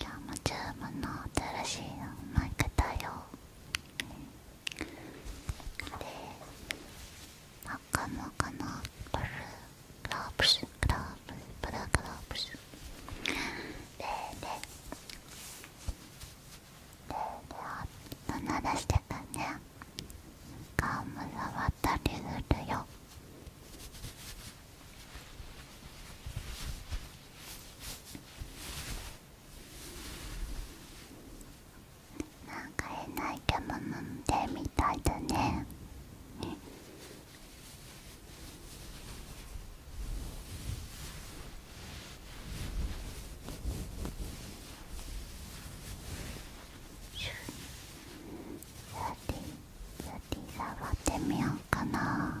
今日もチューブの新しいマイクだよで真っ赤真っ赤のブルーグロープスグローブブルーグロープスでででであっ鳴らしてくね顔も触ったりするよなんか変な生き物でみたいだね触ってみようかな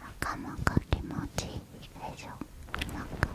なかなか気持ちいいでしょなかなか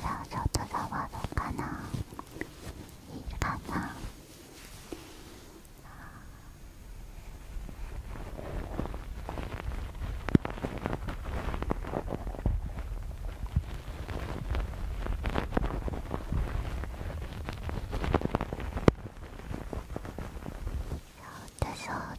じゃあちょっと触ろうかないいかなちょっとそう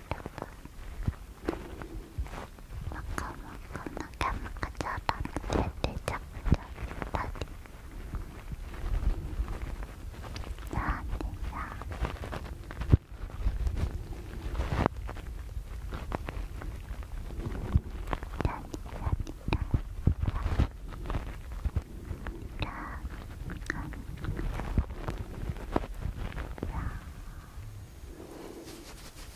もこもこのキャムクちょうだめてちゃくちゃだりなにやなになになになにや活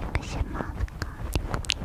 躍します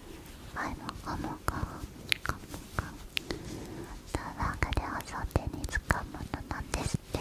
前も後も顔も顔も顔もタワークでおそ手に使うものなんですって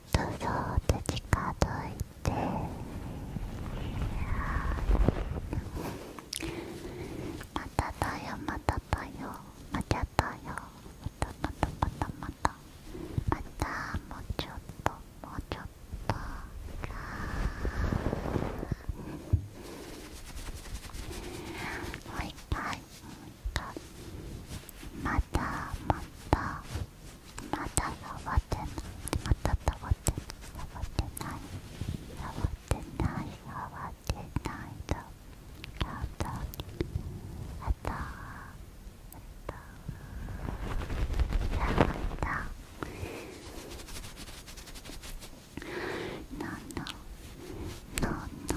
っとそ近づいてまただよまただよまただよまたまたまたまたまたもうちょっともうちょっとはい、はい。もう一回またまたまたまた触ってないまた触ってない触ってない触ってない触ってないだあったあったあったあったなんだなんだなんだ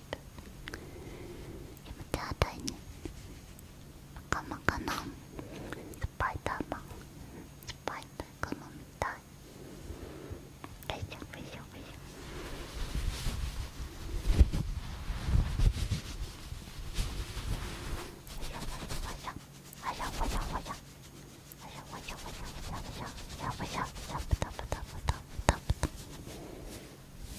やめてあかまた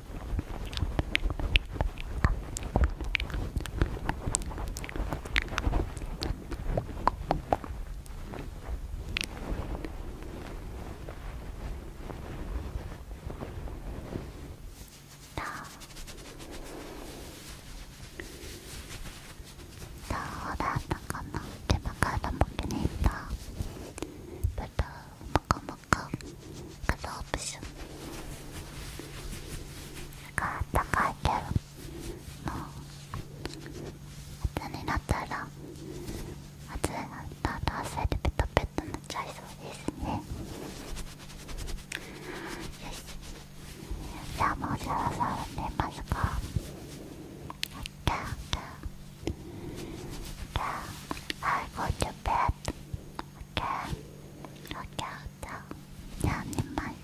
どうだったかな手間からもけねえんだぶどうもこもか片オプションが高いけどもうになったら暑いなったら汗でペタペタになっちゃいそうですねよしじゃあもうそさそろ寝ますかじゃあじゃあ I go to bed OK OK じゃあ寝まないい